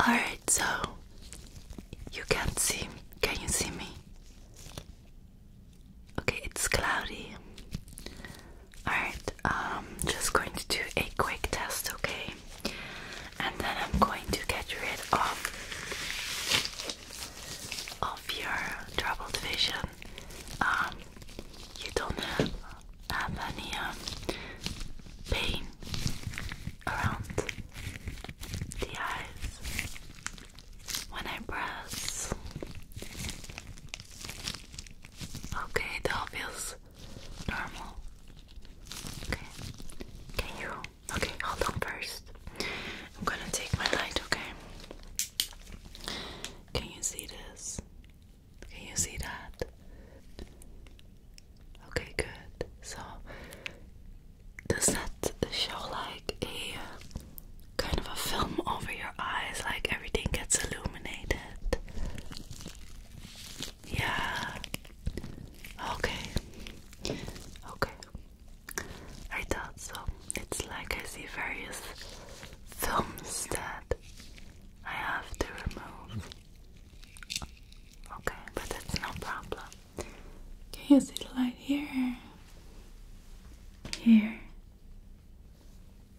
Alright, so you can't see. Can you see me? Okay, it's cloudy. Alright, um just going to do a quick test, okay? And then I'm going to get rid of of your troubled vision. Um you don't have any um, pain around the eyes when I press. Okay, that feels normal. Okay, okay, you. Okay, hold on first. I'm gonna take my light, okay? Can you see this? Can you see that? Okay, good. So, does that show like a kind of a film over your eyes? Like everything gets illuminated? Yeah. Okay. Okay. I thought so. It's like I see various films that I have to remove. Okay, but that's no problem. Can you see the light here? Here.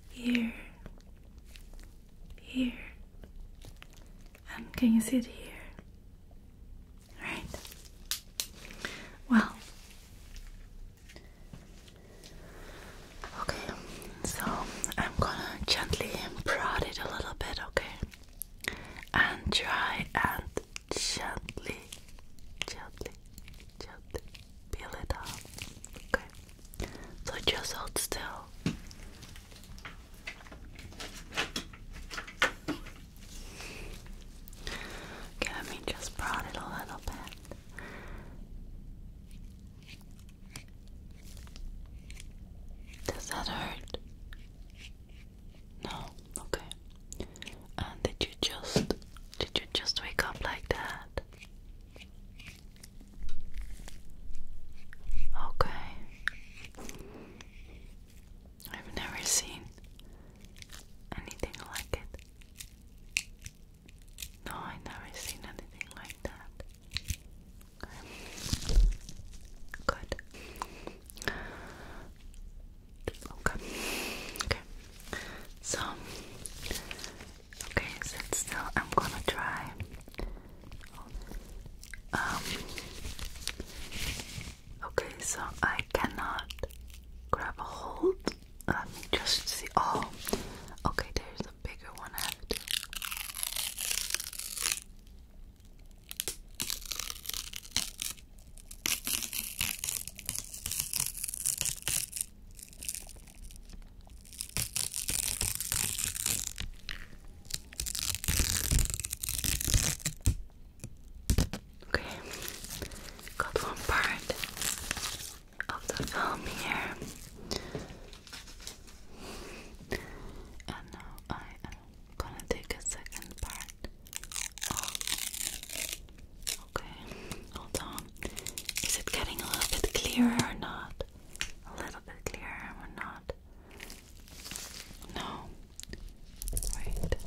Here. Here. And can you see it here? Right. Well. Okay, so I'm gonna gently prod it a little bit, okay? And try and gently, gently, gently peel it off. Okay. So just hold still. Okay, let me just prod it a little bit. Does that hurt? No, okay. And did you just did you just wake up like that? Okay. I've never seen anything like it. No, I've never seen anything like that. Good. Okay. Okay. So, okay, sit I'm gonna try. Um. Okay, so I cannot grab a hold. Let me just see. Oh, okay, there's a bigger one I have to. Okay, got one part of the film here. And now I am gonna take a second part. Oh. Okay, hold on. Is it getting a little bit clearer or not? A little bit clearer or not? No. Wait. Okay.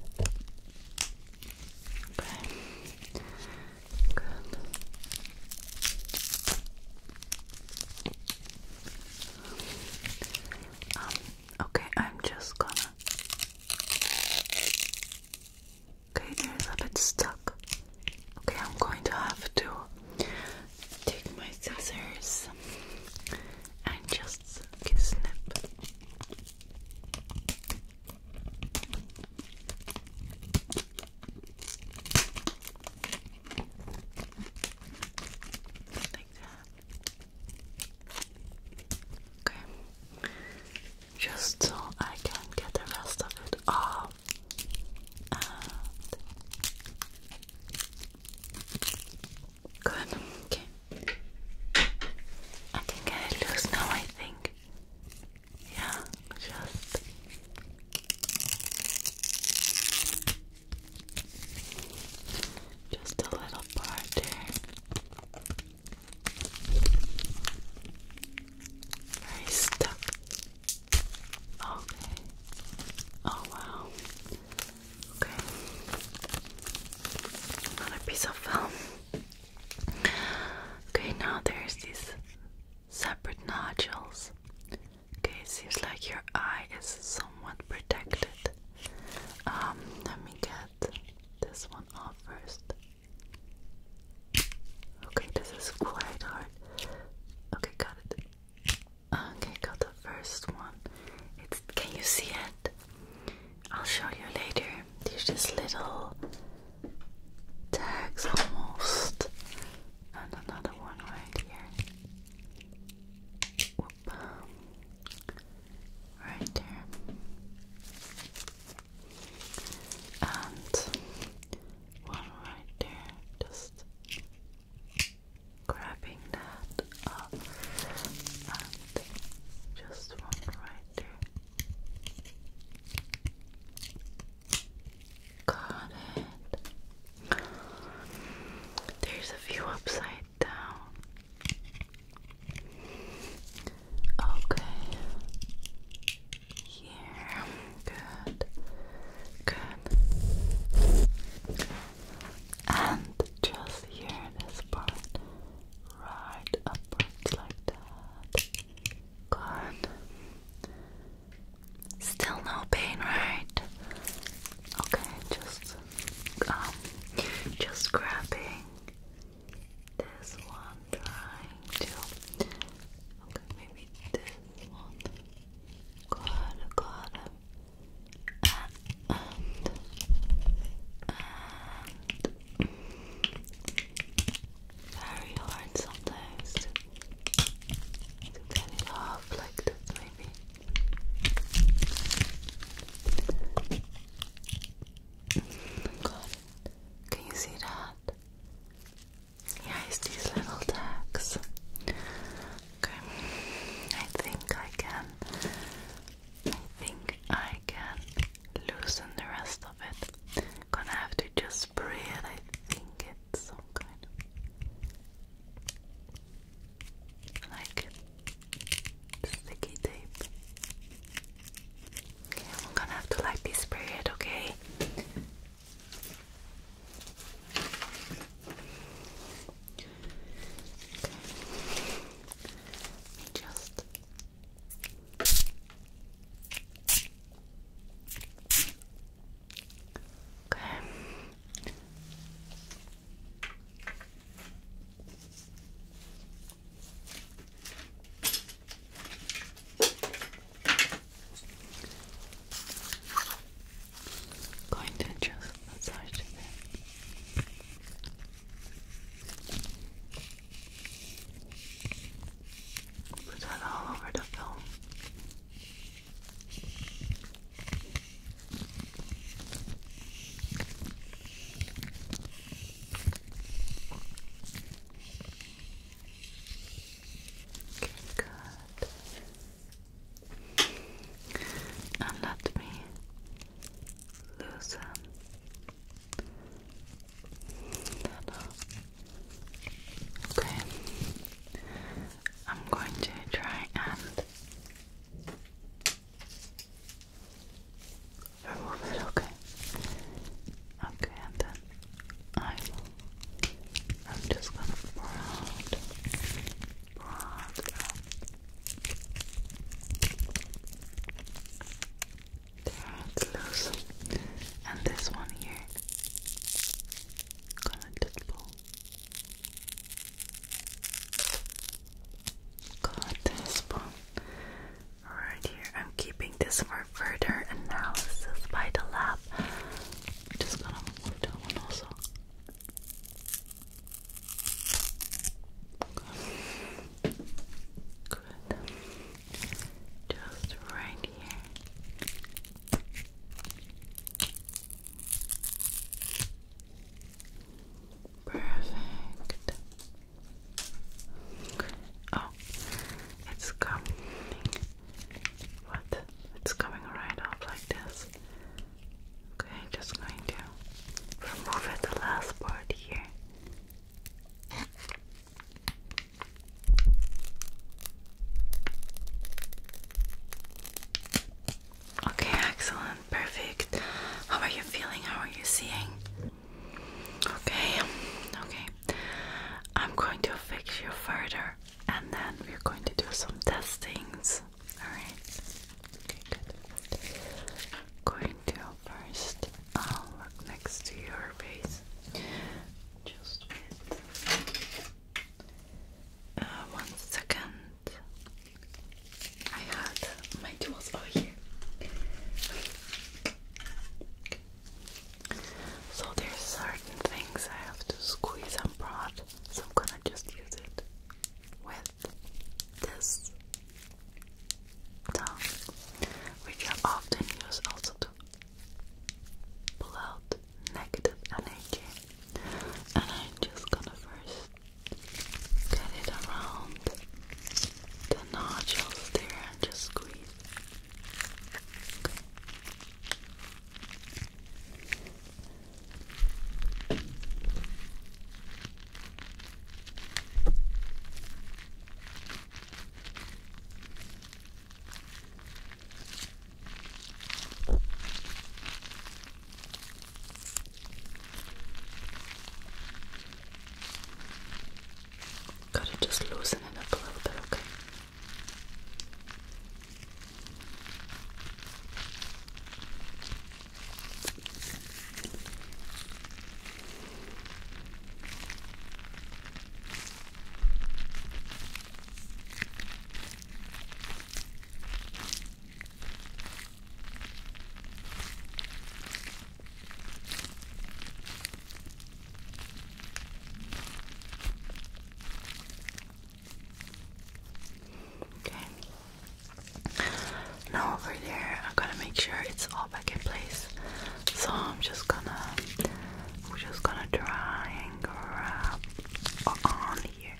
Good. Um, okay, I'm just gonna. Okay, there's a bit stuck. Okay, I'm going to have to take my scissors and just snip. Okay. Just so I can get the rest of it off. Good. Okay. I can get it loose now, I think. Yeah, just just a little part there. Very stuck. Okay. Oh wow. Okay. Another piece of film. Okay, now there's these separate nodules Okay, seems like your eye is somewhat protected. Um, let me get this one off first. Okay, this is quite hard. Okay, got it. Okay, got the first one. can you see it? I'll show you later. There's just little tags almost. And another one right here. Right there. And one right there. Just grabbing that up. And just one right there. Got it. There's a view upside down. Okay. Here. Good. Good. And just here this part. Right upwards like that. Good. Still no pain, right? Okay, just um, just grabbing this one, trying to. maybe this one. Got it, And, very hard sometimes to, get it off like maybe. God, can you see that? Yeah, it's these little tags. Okay, I think I can. I think I can loosen the rest of it. Gonna have to just spray I think it's some kind of like sticky tape. Okay, I'm gonna have to like this period, okay. Just Okay. Going to just massage it. Put that all over the film. Good. And let me loosen Okay. I'm going to try and Remove it, okay. Okay, and then I am just gonna broad, broad And this one here, gonna just pull, Got this right here. I'm keeping this for further analysis by the lab. just gonna move that one also. Good. Just right here. Perfect. Oh, it's coming. What? It's coming right off like this. Okay, just going to remove it the last part here. Okay, excellent, perfect. How are you feeling? How are you seeing? Okay, okay. I'm going to fix you further and then we're going to do some testings. Alright. Okay, good. Going to 1st look next to your face. Just with uh, one second. I had my tools over here. So there's certain things I have to squeeze and prod, so I'm gonna just use it with this tongue, which I often use also to pull out negative energy and I'm just gonna first get it around the nodules there and just squeeze. Gotta just loosen it up a little bit, okay? Okay. Now over there, I'm gonna make sure it's all back in place. So I'm just gonna, we're just gonna try and grab on here.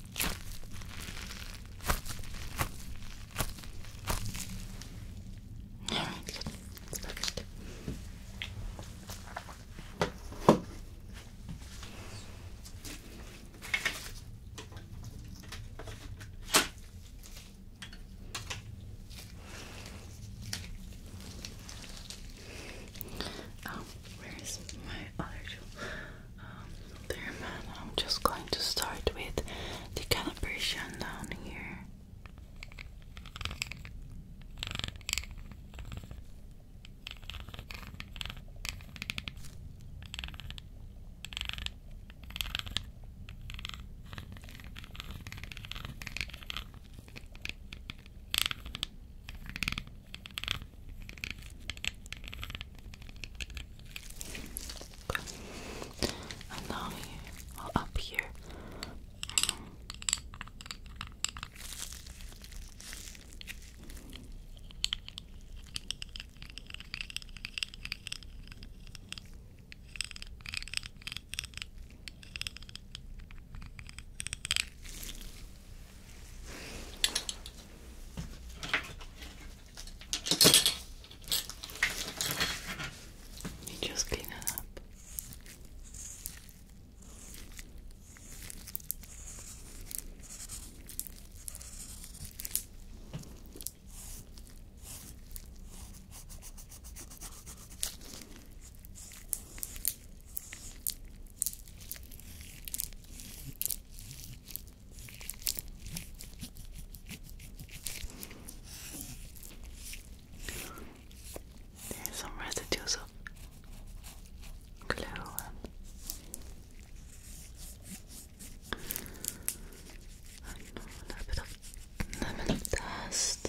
All right, it's perfect. Oh, where is my other tool? um, man I'm just going to start with the calibration down here Okay. And now here, well, up here. Mm -hmm. You just clean it up. There's some residues of glue and a bit of lemon dust.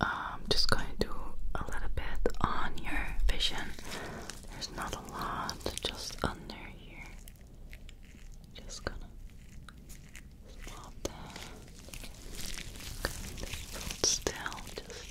I'm um, just going to do a little bit on your vision. There's not a lot, just under here. Just gonna swap that. still, just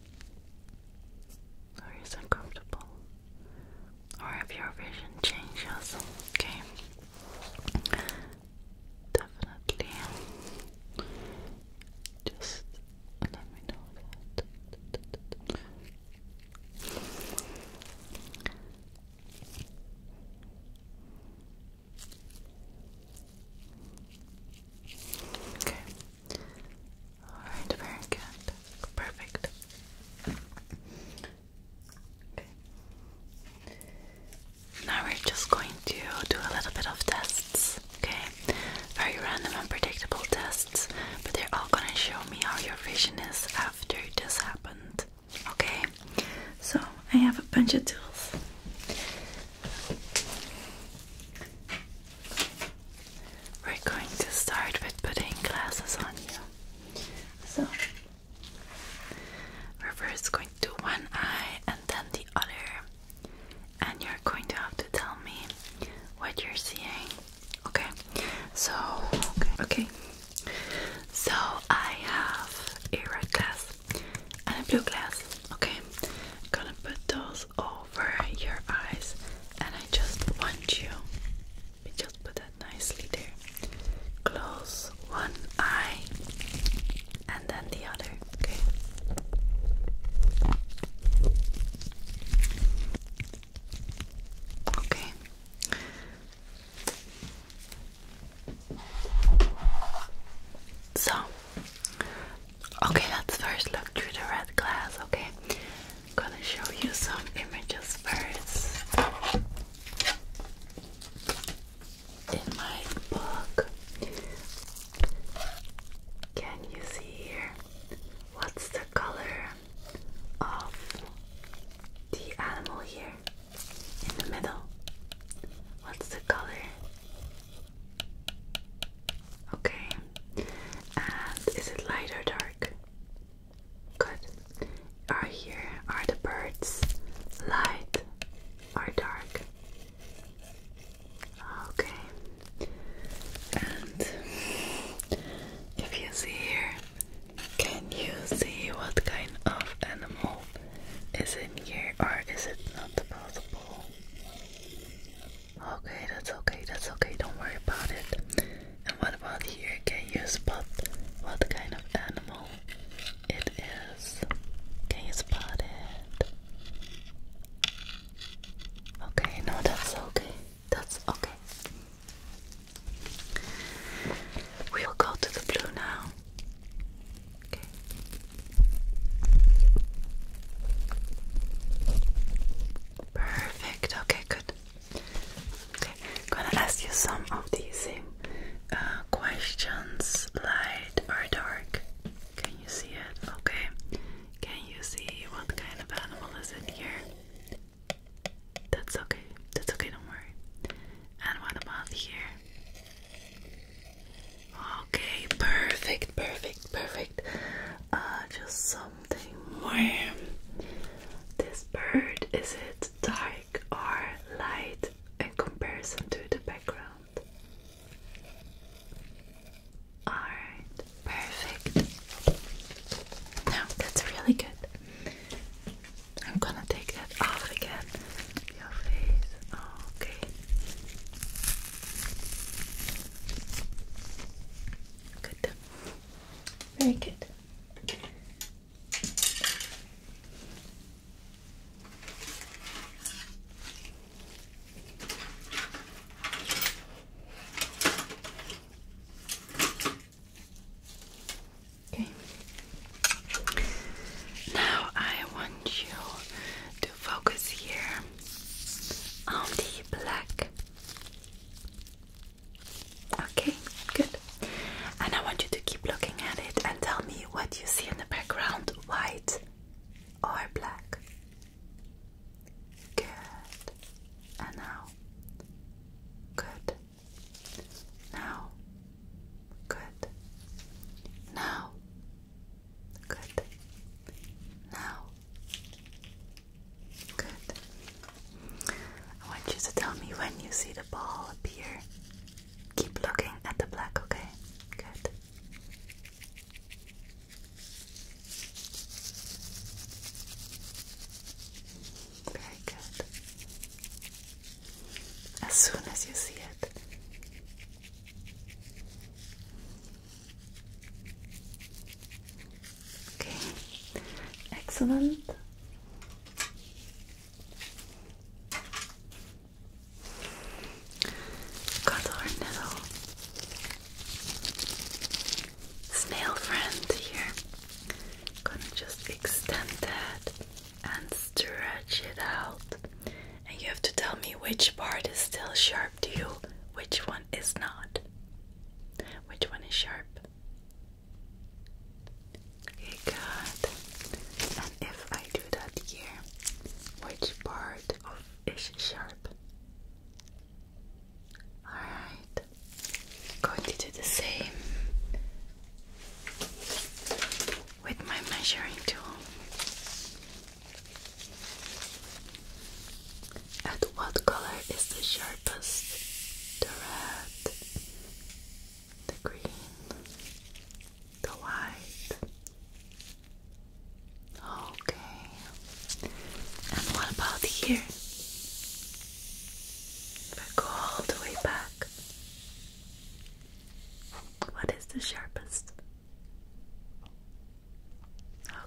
Are you so Or if your vision changes, okay? Definitely. Just let me know that. Okay. Alright, very good. Perfect. Okay. Now we're just going to do a little bit of tests, okay? Very random and predictable tests, but they're all gonna show me how your vision is after this happened, okay? So I have a bunch of tools we're going to start with putting glasses on you. So, we're first going to one eye and then the other, and you're going to have to tell me what you're seeing. Okay, so, okay. so I have a red glass and a blue glass. Okay, I'm gonna put those over your eyes, and I just want you. We just put that nicely there. Close one eye and then the other. Okay. Okay. So Okay, let's first look through the red glass, okay? I'm gonna show you some images first. In my book, can you see here what's the color of the animal here in the middle? What's the color? Okay. And is it light or dark? Good. Are here are the birds light or dark? Okay. And if you see here, can you see what kind of animal is in here or is it not possible? Okay, that's okay, that's okay, don't worry about it. And what about here? Can you spot what kind of animal it is? Can you spot it? Okay, no, that's okay. That's okay. We'll go to the blue now. Okay. Perfect. Okay, good. Okay, I'm gonna ask you some of the same uh, questions. Light or dark? Can you see it? Okay. Can you see what kind of animal is in here? That's okay. That's okay. Don't worry. And what about here? Okay, perfect, perfect, perfect. Uh, just something This bird is it dark or light in comparison to the background? Alright, perfect. Now that's really good. I'm gonna take that off again. Your face. Okay. Good. Very good. Okay. Now I want you to focus here on the black Okay, good. And I want you to keep looking at it and tell me what you see in the background white or black. Good. And now. Good. Now. Good. Now. Good. Now. Good. I want you to tell me when you see the ball appear. Keep looking at the black, okay? Good. Very good. As soon as you see it, Okay, excellent. Got our little snail friend here. Gonna just extend that and stretch it out. And you have to tell me which part is still sharp to you, which one is not. Which one is sharp? good. And if I do that here, which part of is sharp? Alright. Going to do the same with my measuring tool. And what color is the sharpest? The red, the green, the white. Okay. And what about here? If I go all the way back, what is the sharpest?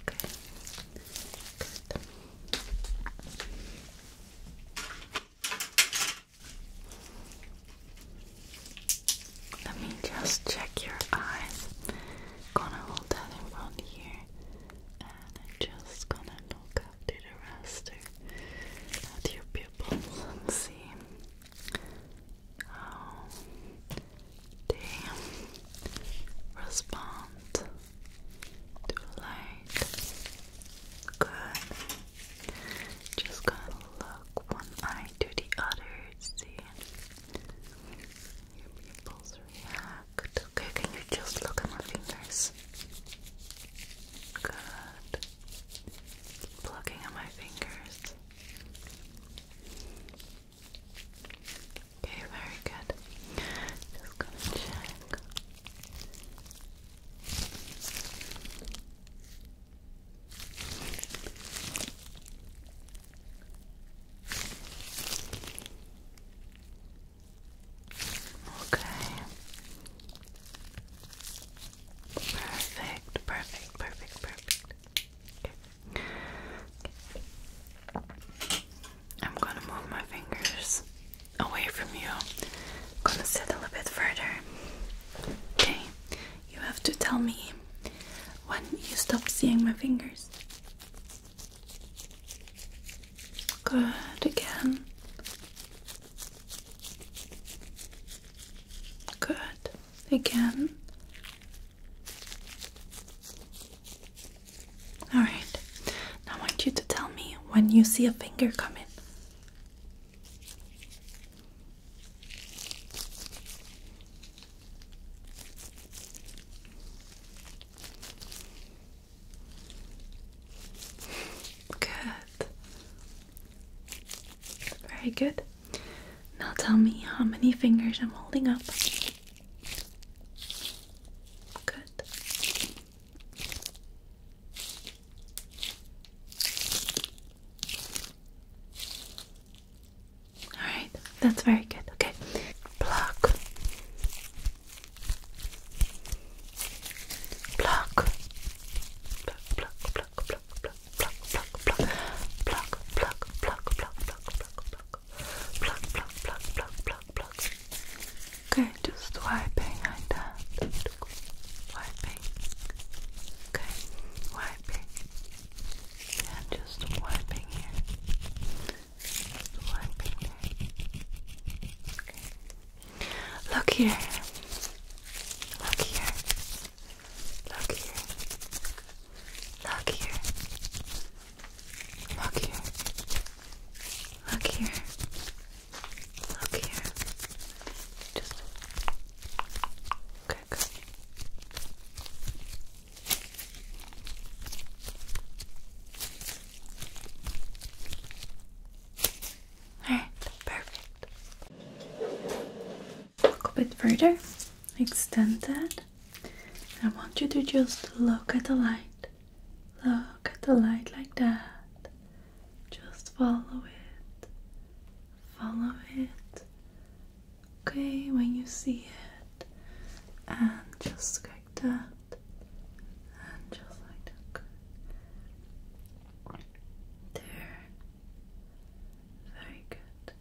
Okay. Good. Let me just check your eyes. Gonna hold that in front here, and I'm just gonna look up the raster at your pupils and see how they respond too light. Good. Just gonna look one eye to the other, see your pupils react. Okay, can you just look at my fingers? Good. looking at my fingers. Okay, very good. Just gonna check. Okay. Perfect, perfect, perfect, perfect. I'm gonna move my fingers away from you. gonna settle a bit further. Okay, you have to tell me when you stop seeing my fingers. Good again. Good again. Alright, now I want you to tell me when you see a finger come in. Good. Very good. Now tell me how many fingers I'm holding up. Good. Alright, that's very good. Okay. Pluck. Pluck. Pluck, pluck, pluck, pluck, pluck, pluck, pluck, pluck, pluck, pluck, pluck, pluck, pluck, pluck, pluck, pluck, pluck, pluck. Okay, just wiping like Wiping. Okay, wiping. And just wiping here. wiping there. Okay. Look here. Look here. Look here. Look here. Look here. Look here. Look here. Just okay, good. All right, perfect. Look a bit further. Extend that. I want you to just look at the light. Look at the light like that. Just follow it. Follow it. Okay, when you see it. And just like that. And just like that. There. Very good.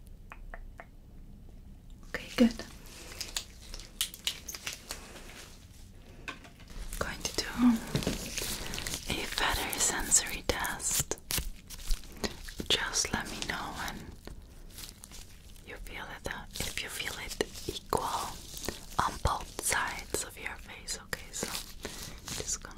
Okay, good going to do a feather sensory test. Just let me know when you feel it, uh, if you feel it equal on both sides of your face. Okay, so just gonna.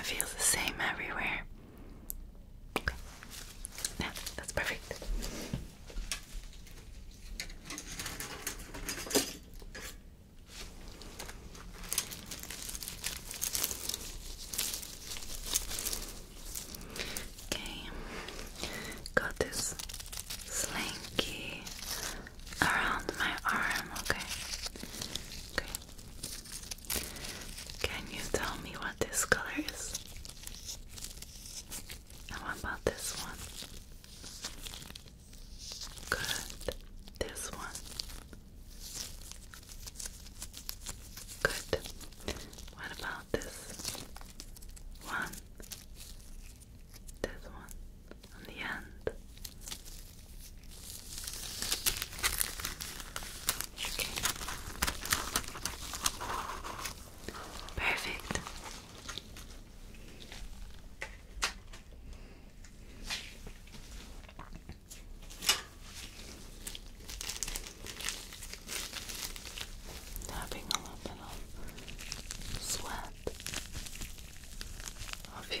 It feels the same everywhere. Okay. Yeah, that's perfect. Okay, got this slinky around my arm, okay? Okay. Can you tell me what this color is? how about this one? Good. This one. Good. What about this one? This one on the end. Okay. Perfect. Having a little sweat of you.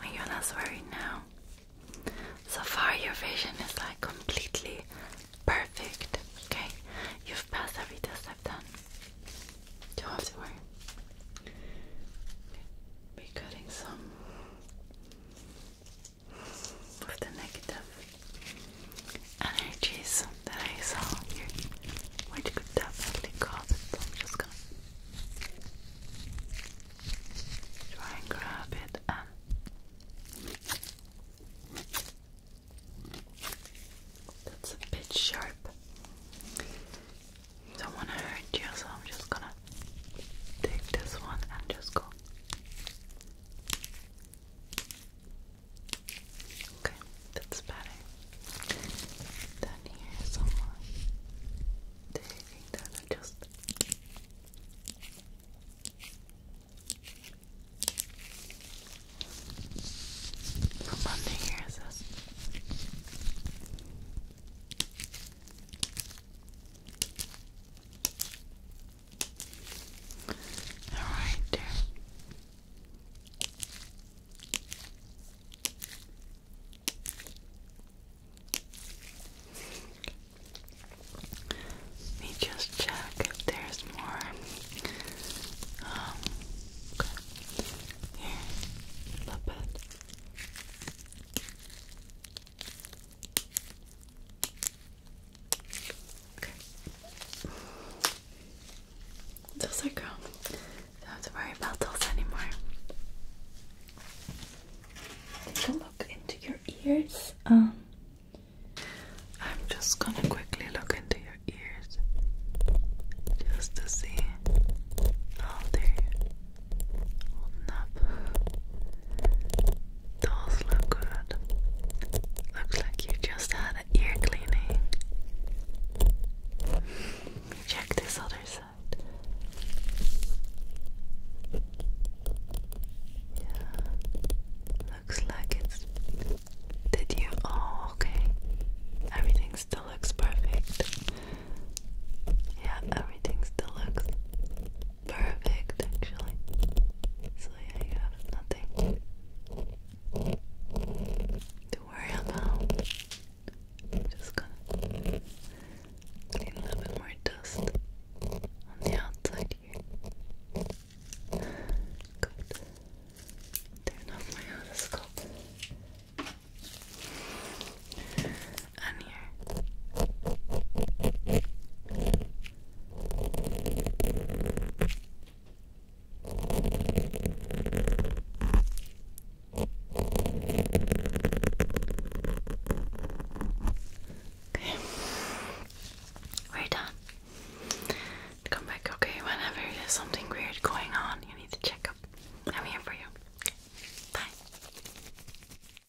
Are you not worried now? So far, your vision is like completely perfect. Okay, you've passed every I've done. Don't have to worry. Be cutting some of the negative energies that I saw here, which could definitely cause it. So I'm just gonna try and grab it um, that's a bit sharp. Don't want to hurt you, so I'm just gonna take this one and just go. Okay, that's better. Then here's someone taking that and just. From under here is this. Alright. Let me just check if there's more. Um, Here, a little bit. Okay. Those are Don't have to worry about those anymore. Take a look into your ears. Um, I'm just gonna quickly look into your ears just to see how they holding up. Those look good. Looks like you just had an ear cleaning. Check this other side. Looks like it's. Did you? Oh, okay. Everything still looks perfect. Yeah, everything still looks perfect actually. So yeah, you have nothing to worry about. just gonna clean a little bit more dust on the outside here. Good. Turn off my otoscope on here. Okay. We're done. Come back, okay? Whenever there's something weird going on, you need to check up. I'm here for you. Okay. Bye.